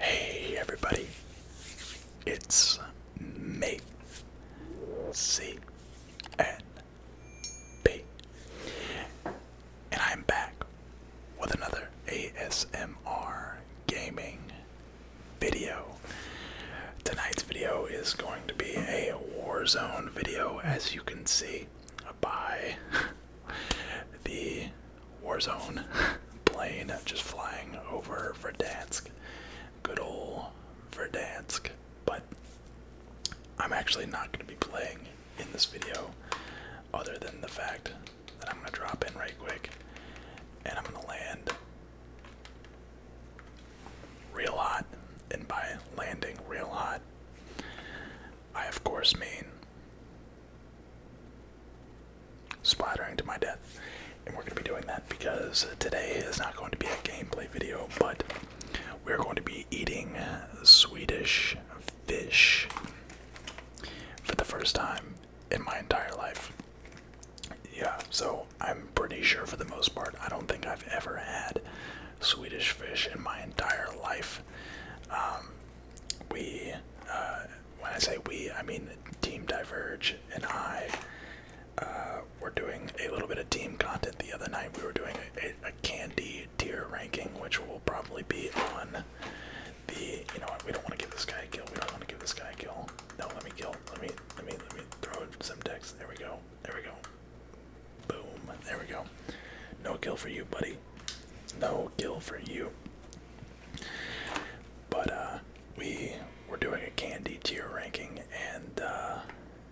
Hey everybody, it's me, C N P, and I'm back with another ASMR gaming video. Tonight's video is going to be a Warzone video, as you can see by the Warzone plane just flying over Verdansk. Good old Verdansk. But I'm actually not going to be playing in this video, other than the fact that I'm going to drop in right quick and I'm going to land real hot, and by landing real hot, I of course mean splattering to my death. And we're going to be doing that because today is not going to be a gameplay video, but we're going to be eating Swedish fish for the first time in my entire life. Yeah, so I'm pretty sure for the most part, I don't think I've ever had Swedish fish in my entire life. Um, we, uh, when I say we, I mean Team Diverge and I uh, were doing a little bit of team content the other night. We were doing a, candy tier ranking, which will probably be on the. You know what? We don't want to give this guy a kill. We don't want to give this guy a kill. No, let me kill. Let me, let me, let me throw some decks. There we go. There we go. Boom. There we go. No kill for you, buddy. No kill for you. But uh, we we're doing a candy tier ranking and uh,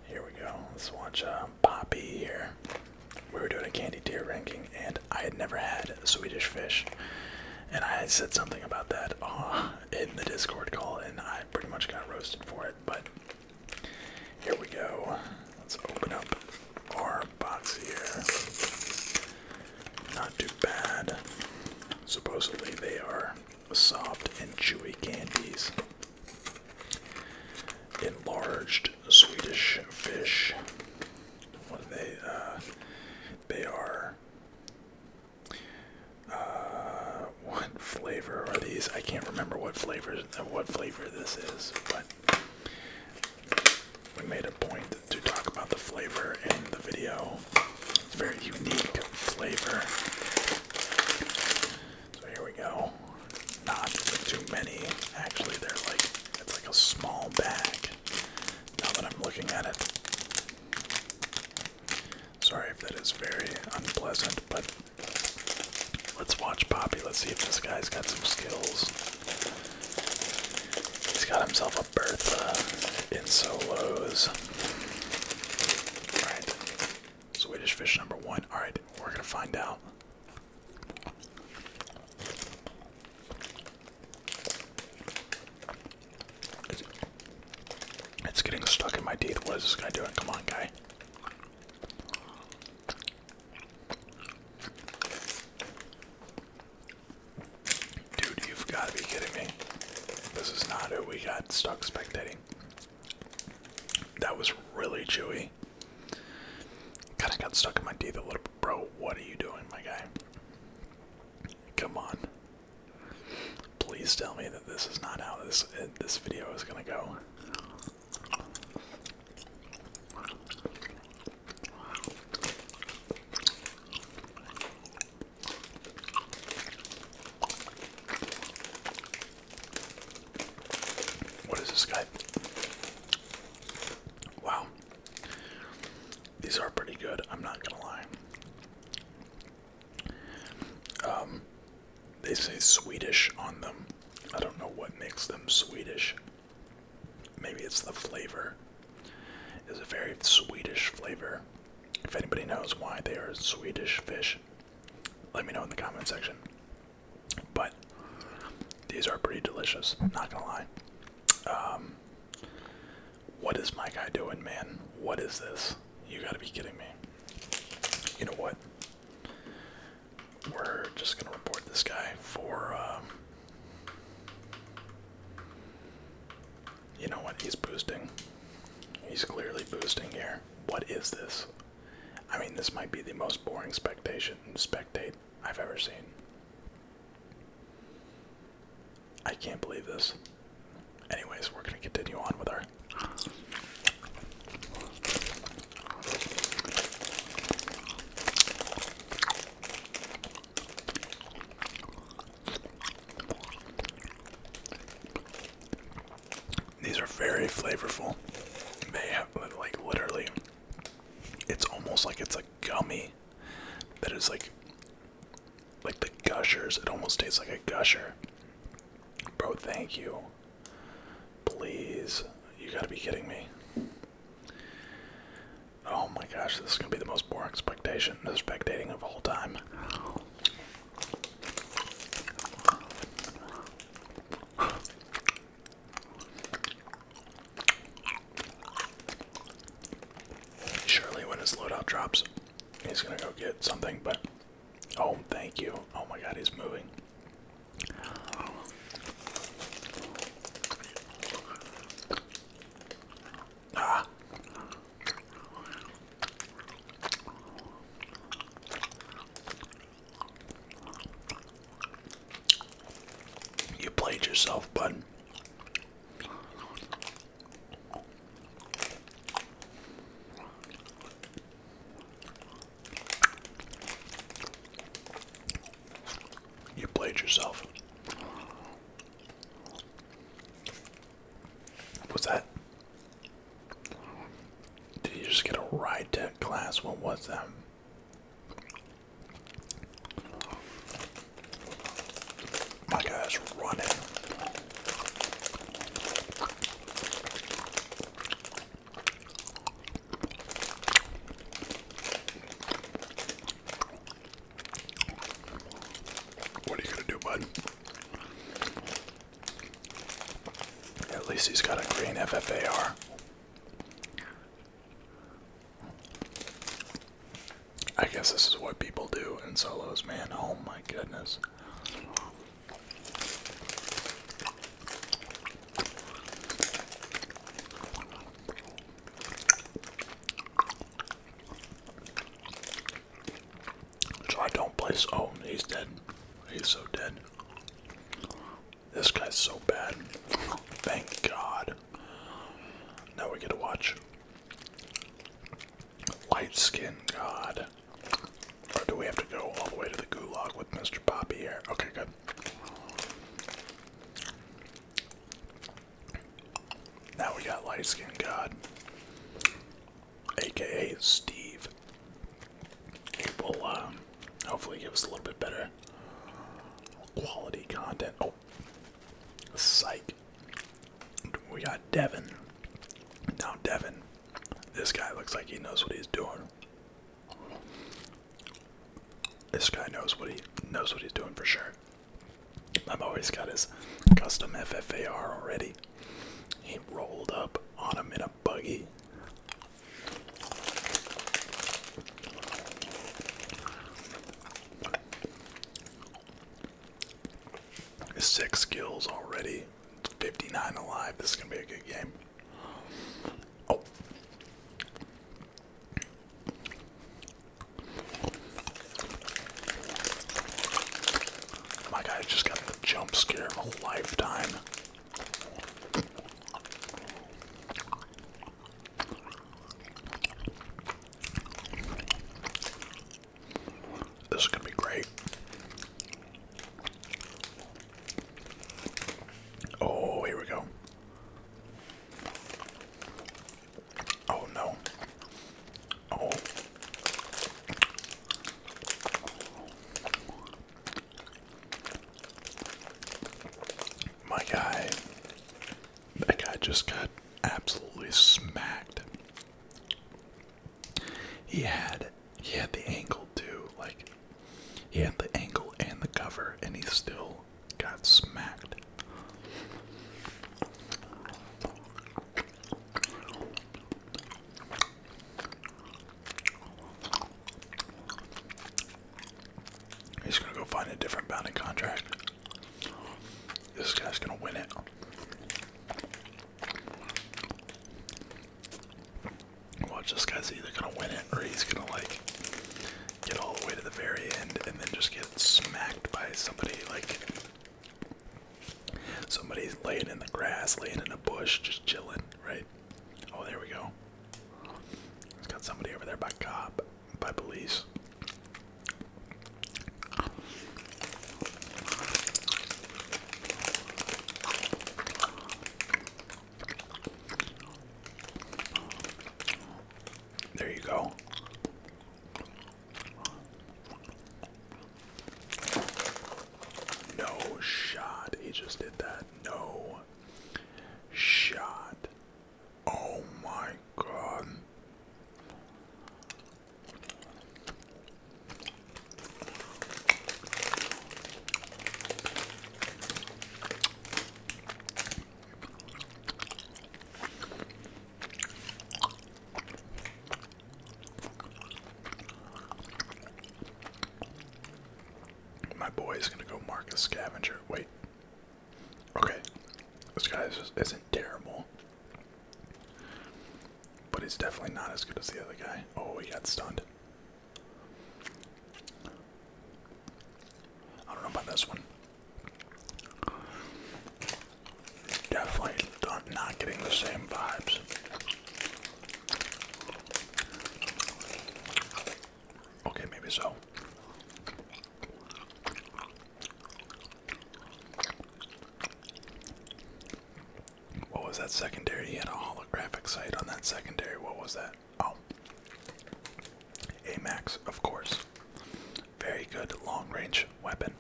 here we go. Let's watch uh, Poppy here. We were doing a candy tier ranking and I had never had Swedish fish. And I said something about that in the Discord call and I pretty much got roasted for it but here we go. Let's open up our box here. Not too bad. Supposedly they are soft and chewy candies. Enlarged Swedish fish. What are they? Uh, they are uh, what flavor are these? I can't remember what flavors what flavor this is, but we made a point to talk about the flavor in the video. It's a very unique flavor. So here we go. Not too many. Actually, they're like it's like a small bag. Now that I'm looking at it. Sorry if that is very unpleasant, but let's watch Poppy. Let's see if this guy's got some skills. He's got himself a Bertha in solos. Alright. Swedish fish number one. Alright, we're gonna find out. It's getting stuck in my teeth. What is this guy doing? Come on, guy. Dude, you've got to be kidding me. This is not who we got stuck spectating. That was really chewy. Kind of got stuck in my teeth a little bit. Bro, what are you doing, my guy? Come on. Please tell me that this is not how this this video is gonna go. What is this guy? Wow. These are pretty good, I'm not gonna lie. Um, they say Swedish on them. I don't know what makes them Swedish. Maybe it's the flavor. It's a very Swedish flavor. If anybody knows why they are Swedish fish, let me know in the comment section. But these are pretty delicious, not gonna lie. Um, what is my guy doing, man? What is this? You gotta be kidding me. You know what? We're just gonna report this guy for, um, You know what? He's boosting. He's clearly boosting here. What is this? I mean, this might be the most boring spectation spectate I've ever seen. I can't believe this. Anyways, we're gonna continue on with our these are very flavorful. They have like literally it's almost like it's a gummy that is like like the gushers. It almost tastes like a gusher. Bro, thank you. Please. You gotta be kidding me. Oh my gosh, this is gonna be the most boring expectation, the no dating of all time. Surely when his loadout drops, he's gonna go get something, but Oh, thank you. Oh my god, he's moving. Ah. You played yourself, bud. You played yourself. What's that? Did you just get a ride to class? What was that? My guy's running. What are you gonna do, bud? At least he's got a green FFAR. I guess this is what people do in solos, man. Oh my goodness. So I don't play. Oh, he's dead. He's so dead. This guy's so bad. Thank God. Now we get to watch Light skin god. Or do we have to go all the way to the gulag with Mr. Poppy here? Okay, good. Now we got light skin god. AKA Steve. will um, hopefully give us a little bit better quality content. Oh, psych. We got Devin. Now Devin this guy looks like he knows what he's doing. This guy knows what he knows what he's doing for sure. I've always got his custom FFAR already. He rolled up on him in a buggy. Six kills already. 59 alive. This is going to be a good game. Oh. My guy just got the jump scare of a lifetime. This is going to be great. Oh, here we go. Oh no. Oh. My guy. That guy just got absolutely smacked he had he had the angle too, like he had the angle and the cover, and he still got smacked. He's gonna go find a different binding contract. This guy's gonna win it. Watch this guy's either gonna win it or he's gonna like get all the way to the very end and then just get smacked by somebody like somebody's laying in the grass, laying in a bush, just chilling, right? Oh there we go. It's got somebody over there by cop by police. There you go. No shot. He just did that. No shot. Oh my god. My boy is gonna go mark a scavenger. Wait. Okay. This guy isn't terrible. But he's definitely not as good as the other guy. Oh, he got stunned. I don't know about this one. Definitely not getting the same vibes. Okay, maybe so. What was that secondary? He had a holographic sight on that secondary. What was that? Oh. max, of course. Very good long range weapon.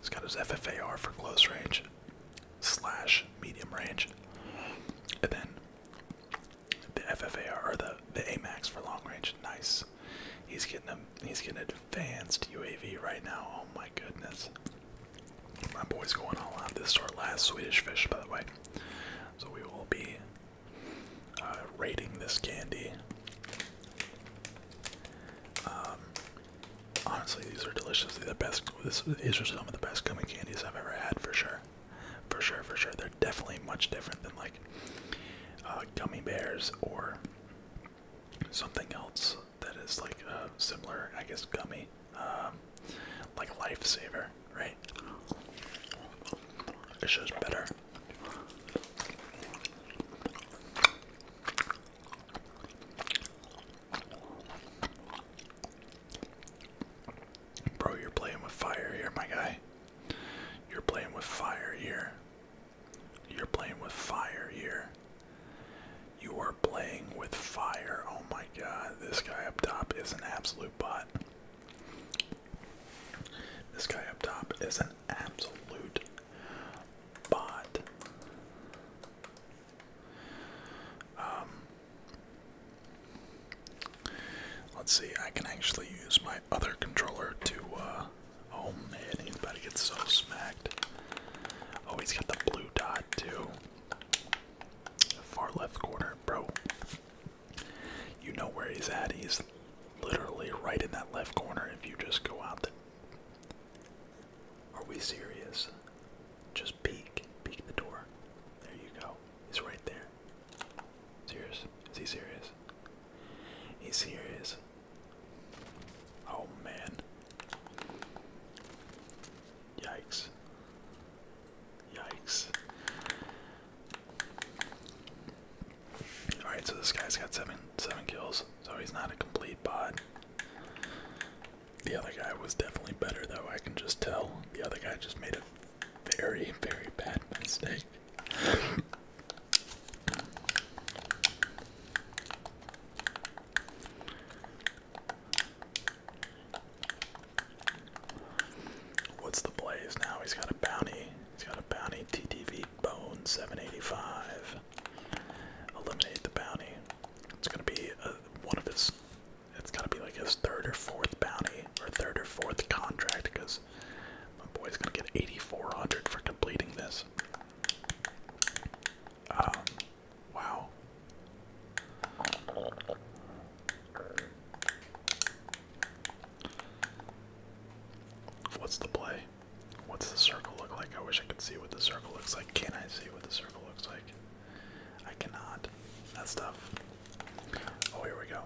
He's got his FFAR for close range slash medium range. And then the FFAR or the, the max for long range. Nice. He's getting a, he's getting advanced UAV right now. Oh my goodness. My boy's going all out. This is our last Swedish fish, by the way. So we will be uh, rating this candy. Um, honestly, these are delicious. They're the best. these are some of the best gummy candies I've ever had, for sure. For sure, for sure. They're definitely much different than like uh, gummy bears or something else that is like uh, similar, I guess, gummy um, like lifesaver, right? This just better. Bro, you're playing with fire here, my guy. You're playing with fire here. You're playing with fire here. You are playing with fire. Oh my god, this guy up top is an absolute bot. This guy up top is an absolute bot. Um, let's see, I can actually use my other controller to, uh, oh man, he's about to get so smacked. Oh, he's got the blue dot too. Far left corner, bro. You know where he's at. He's literally right in that left corner if you just go out the Are we serious? Just peek. Peek the door. There you go. He's right there. Serious? Is he serious? He's serious. Oh man. Yikes. Yikes. Alright, so this guy's got seven seven kills, so he's not a complete bot. The other guy was definitely better though, I can just tell. The other guy just made a very, very bad mistake. What's the blaze now? He's got a bounty. He's got a bounty. TTV Bone 785. Eliminate the bounty. It's gonna be one of his. It's gotta be like his third or fourth bounty, or third or fourth contract, because my boy's gonna get 8,400 for completing this. Um, Wow. What's the play? What's the circle look like? I wish I could see what the circle looks like. Can I see what the circle looks like? I cannot. That's tough. Oh, here we go.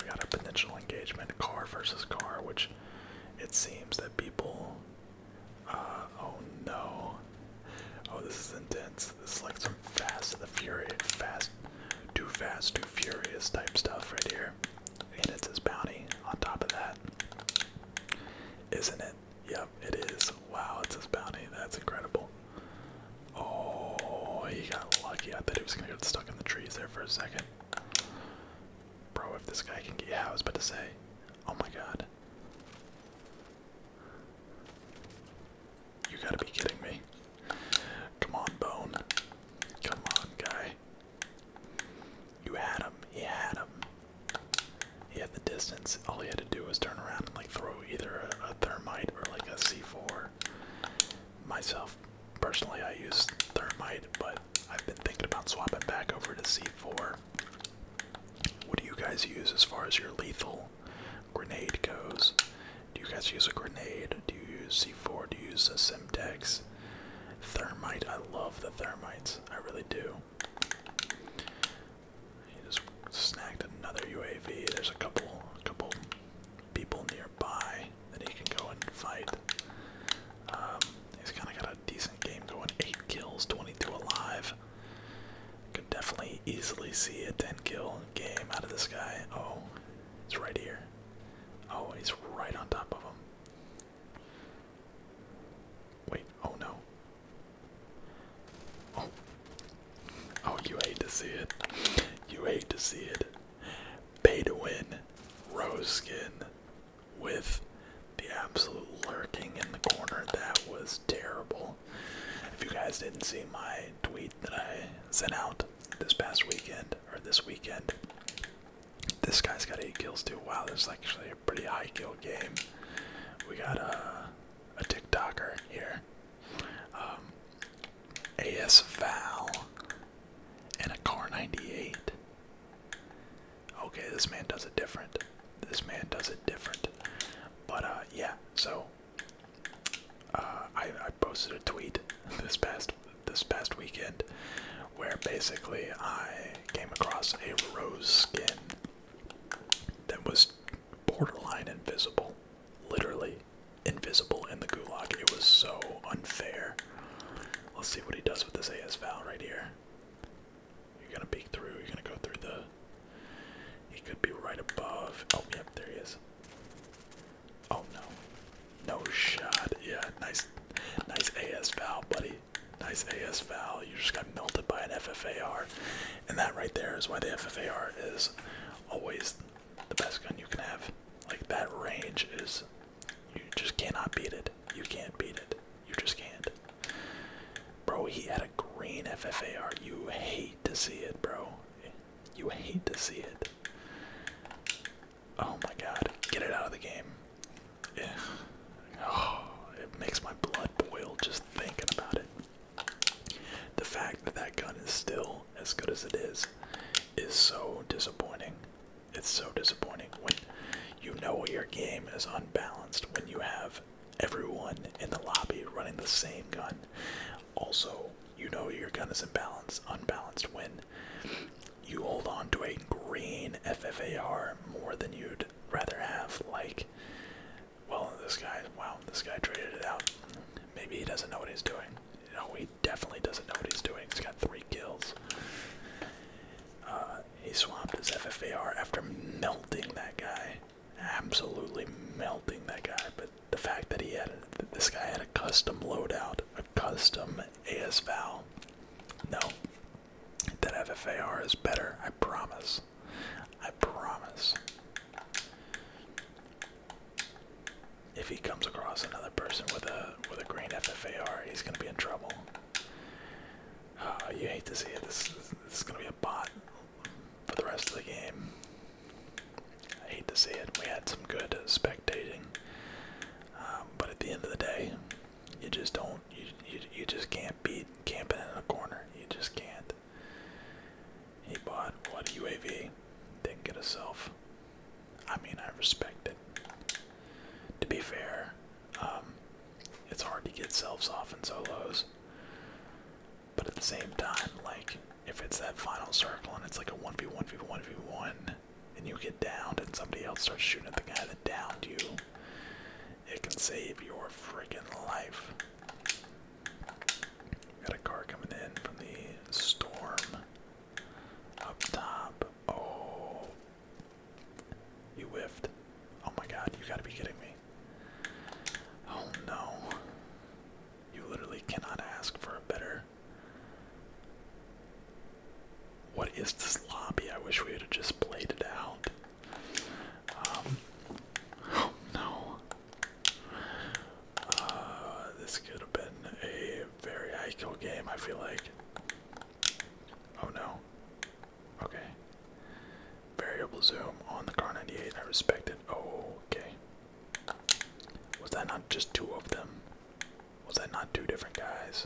We got a potential engagement, car versus car, which it seems that people uh, oh no. Oh, this is intense. This is like some fast and the fury, fast, too fast, too furious type stuff right here. And it's his bounty on top of that. Isn't it? Yep, it is. Wow, it's his bounty. That's incredible. Oh, he got lucky. I thought he was gonna get stuck in the trees there for a second. Bro, if this guy can get, housed, but to say, oh my god. You gotta be kidding me. Come on, Bone. Come on, guy. You had him. He had him. He had the distance. All he had to do was turn around and like throw either a, a thermite or like a C4. Myself, personally, I use thermite, but I've been thinking about swapping back over to C4. What do you guys use as far as your lethal grenade goes? Do you guys use a grenade? Do you use C4? Do you use a Simtex? Thermite. I love the thermites. I really do. He just snagged another UAV. There's a couple, couple people nearby that he can go and fight. Um, He's kind of got a decent game going. Eight kills, 22 alive. Could definitely easily see a 10 kill game out of this guy. Oh, he's right here. Oh, he's right on top of him. Wait, oh no. Oh. Oh, you hate to see it. You hate to see it. Pay to win. Rose skin with the absolute lurking in the corner. That was terrible. If you guys didn't see my tweet that I sent out this past weekend, or this weekend, this guy's got 8 kills too. Wow, this is actually a pretty high kill game. We got a, a TikToker here. Um, AS Val and a Car 98. Okay, this man does it different. This man does it different. But uh, yeah, so uh, I, posted a tweet this past this past weekend where basically I came across a rose skin that was borderline invisible, literally invisible in the gulag. It was so unfair. Let's see what he does with this AS right here. You're gonna peek through. You're gonna go through the. He could be right above. Oh, yep, there he is. Oh no, no shot. Yeah, nice, nice AS Val, buddy. Nice AS Val. You just got melted by an FFA R. and that right there is why the FFA R is always the best gun you can have. Like that range is, you just cannot beat it. You can't beat it. You just can't. Bro, he had a green FFAR. You hate to see it, bro. You hate to see it. Oh my god. Get it out of the game. Yeah. Oh, it makes my blood boil just thinking about it. The fact that that gun is still as good as it is is so disappointing. It's so disappointing when you know your game is unbalanced when you have everyone in the lobby running the same gun. Also, you know your gun is imbalanced, unbalanced when you hold on to a green FFAR more than you'd rather have. Like, well, this guy, wow, this guy traded it out. Maybe he doesn't know what he's doing. No, he definitely doesn't know what he's doing. He's got three kills. Uh, he swapped his FFAR after melting that guy. Absolutely melting that guy. But the fact that he had this guy had a custom loadout, a custom ASVAL. No, that FFAR is better. I promise. I promise. If he comes across another person with a with a green FFAR, he's gonna be in trouble. Ah, you hate to see it. This, is going to be a bot for the rest of the game. I hate to see it. We had some good spectating, um, but at the end of the day, you just don't. You you, you just can't beat camping in a corner. You just can't. He bought what UAV? Didn't get a self. I mean, I respect it. To be fair, um, it's hard to get selves off and solos. But at the same time, like, if it's that final circle and it's like a 1v1v1v1 and you get downed and somebody else starts shooting at the guy that downed you, it can save your freaking life. Got a car coming in from the storm up top. Oh, you whiffed. Oh my god, you gotta be kidding me. Oh no. You literally cannot ask for a better. What is this lobby? I wish we had just played it out. Um, oh no. Uh, this could have been a very high game, I feel like. Oh no. Okay. Variable zoom on the car 98. I respect it. Oh, okay. Was that not just two of them? Was that not two different guys?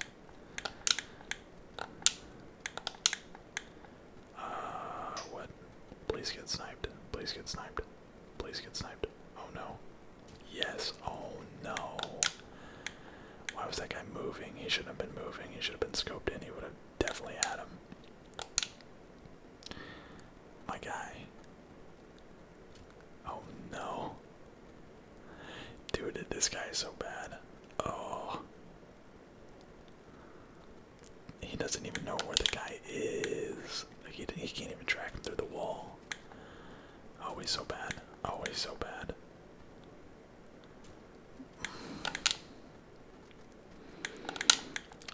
Uh, what? Please get sniped. Please get sniped. Please get sniped. Oh no. Yes. Oh no. Why was that guy moving? He should have been moving. He should have been scoped in. He would have Definitely had him. My guy. Oh no. Dude, this guy is so bad. Oh. He doesn't even know where the guy is. Like he, he can't even track him through the wall. Always so bad. Always so bad.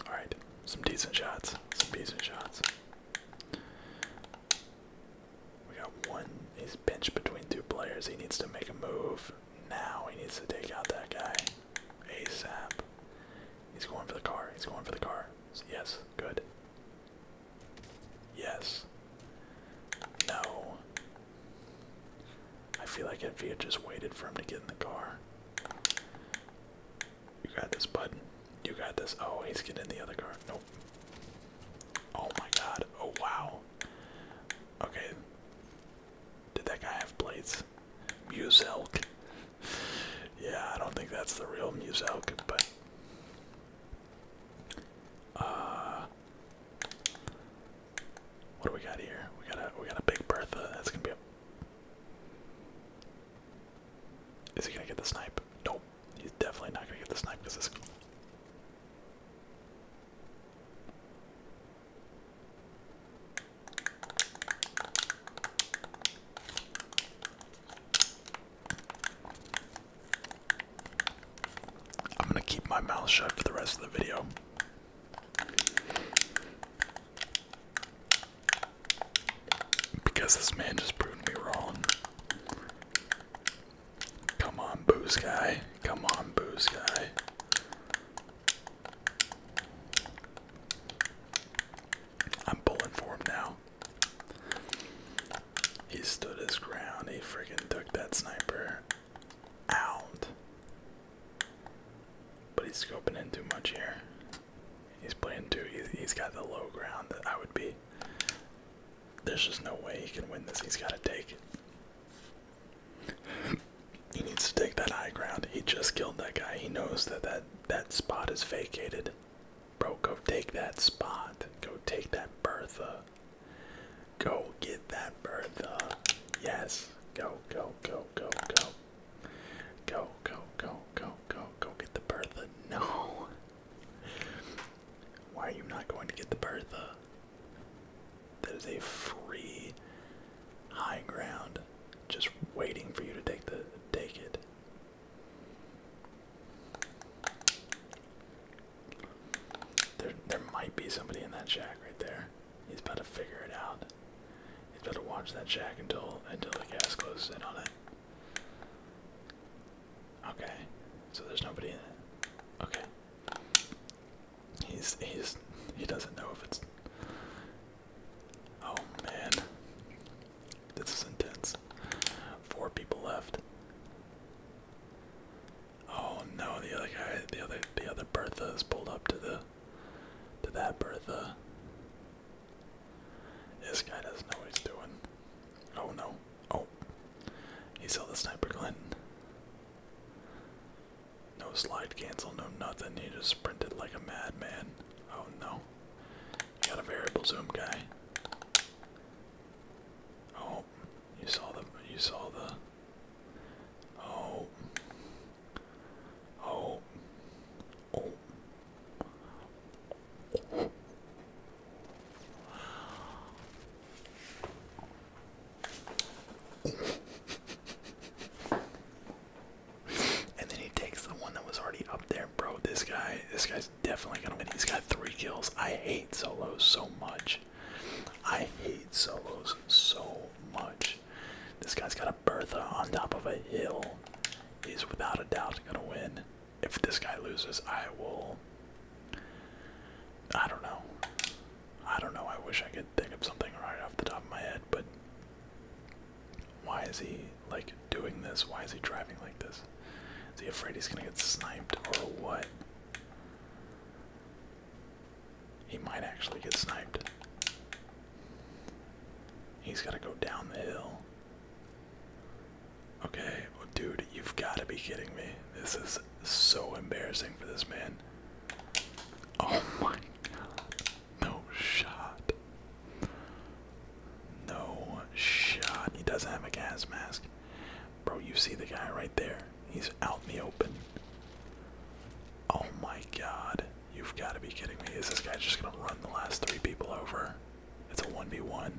All right, some decent shots, some decent shots. We got one. He's pinched between two players. He needs to make a move now. He needs to take out that guy ASAP. He's going for the car. He's going for the car. Yes, good. Yes. No. I feel like if he had just waited for him to get in the car. You got this, bud. You got this. Oh, he's getting in the other car. Nope. Oh my god. Oh wow. Okay. Did that guy have plates? Muselk. Yeah, I don't think that's the real Muselk, but uh what do we got here? We got a we got a big Bertha. That's gonna be a. Is he gonna get the snipe? Nope. He's definitely not gonna get the snipe because this. I'm gonna keep my mouth shut for the rest of the video. Because this man just proved me wrong. Come on, booze guy. Come on, booze guy. I'm pulling for now. He stood his ground. He friggin' took that sniper out. But he's scoping in too much here. He's playing too. he's got the low ground that I would be. There's just no way he can win this. He's got to take it. he needs to take that high ground. He just killed that guy. He knows that that, that spot is vacated. Bro, go take that spot. Go take that Bertha. Go get that Bertha. Yes. Go, go, go, go, go. Go, go, go, go, go, go get the Bertha. No. Why are you not going to get the Bertha? That is a free high ground just waiting for you to take the take it. There there might be somebody in that shack right there. He's about to figure it out. He's about to watch that shack until until the gas closes in on it. Okay, so there's nobody in it. Okay. He's he's he doesn't know if it's. Oh man, this is intense. Four people left. Oh no, the other guy, the other, the other Bertha is pulled up to the, to that Bertha. This guy doesn't know what he's doing. Oh no. Oh. He saw the sniper Clinton. No slide cancel, no nothing. He just sprinted like a madman. Oh no. He got a variable zoom guy. Oh, you saw the you saw the Oh. Oh. Oh. and then he takes the one that was already up there, bro. This guy, this guy's definitely gonna win. He's got three kills. I hate solos so much. I hate solos so much. This guy's got a Bertha on top of a hill. He's without a doubt gonna win. If this guy loses, I will. I don't know. I don't know. I wish I could think of something right off the top of my head, but why is he like doing this? Why is he driving like this? Is he afraid he's gonna get sniped or what? He might actually get sniped. He's got to go down the hill. Okay, well, dude, you've got to be kidding me. This is so embarrassing for this man. Oh my god. No shot. No shot. He doesn't have a gas mask. Bro, you see the guy right there. He's out in the open. Oh my god. You've got to be kidding me. Is this guy just going to run the last three people over? It's a 1v1.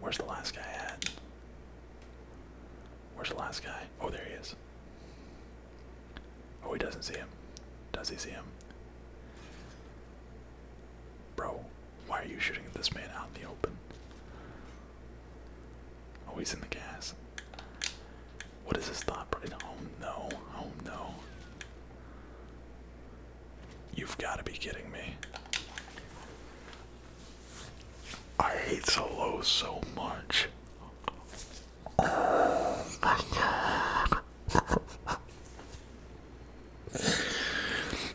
Where's the last guy at? Where's the last guy? Oh, there he is. Oh, he doesn't see him. Does he see him? Bro, why are you shooting at this man out in the open? Always in the gas. What is this thought? Oh no, oh no. You've got to be kidding me. I hate Solo so much.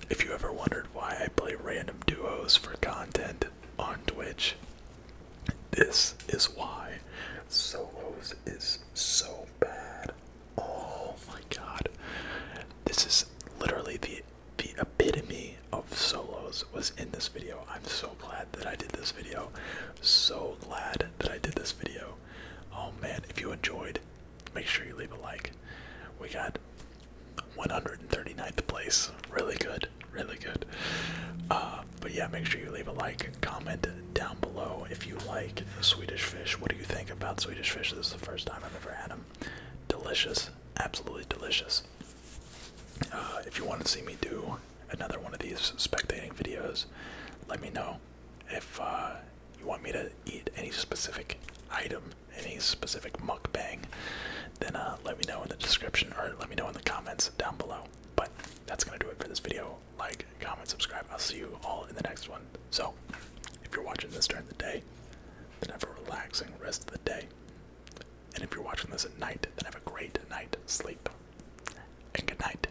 if you ever wondered why I play random duos for content, on Twitch. This is why Solos is so bad. Oh my god. This is literally the the epitome of solos was in this video. I'm so glad that I did this video. So glad that I did this video. Oh man, if you enjoyed, make sure you leave a like. We got 139th place. Really good really good. Uh, but yeah, make sure you leave a like, comment down below if you like Swedish fish. What do you think about Swedish fish? This is the first time I've ever had them. Delicious, absolutely delicious. Uh, if you want to see me do another one of these spectating videos, let me know. If uh, you want me to eat any specific item, any specific mukbang, then let me know in the description or let me know in the comments down below. But that's gonna do it for this video. Like, comment, subscribe. I'll see you all in the next one. So, if you're watching this during the day, then have a relaxing rest of the day. And if you're watching this at night, then have a great night sleep. And good night.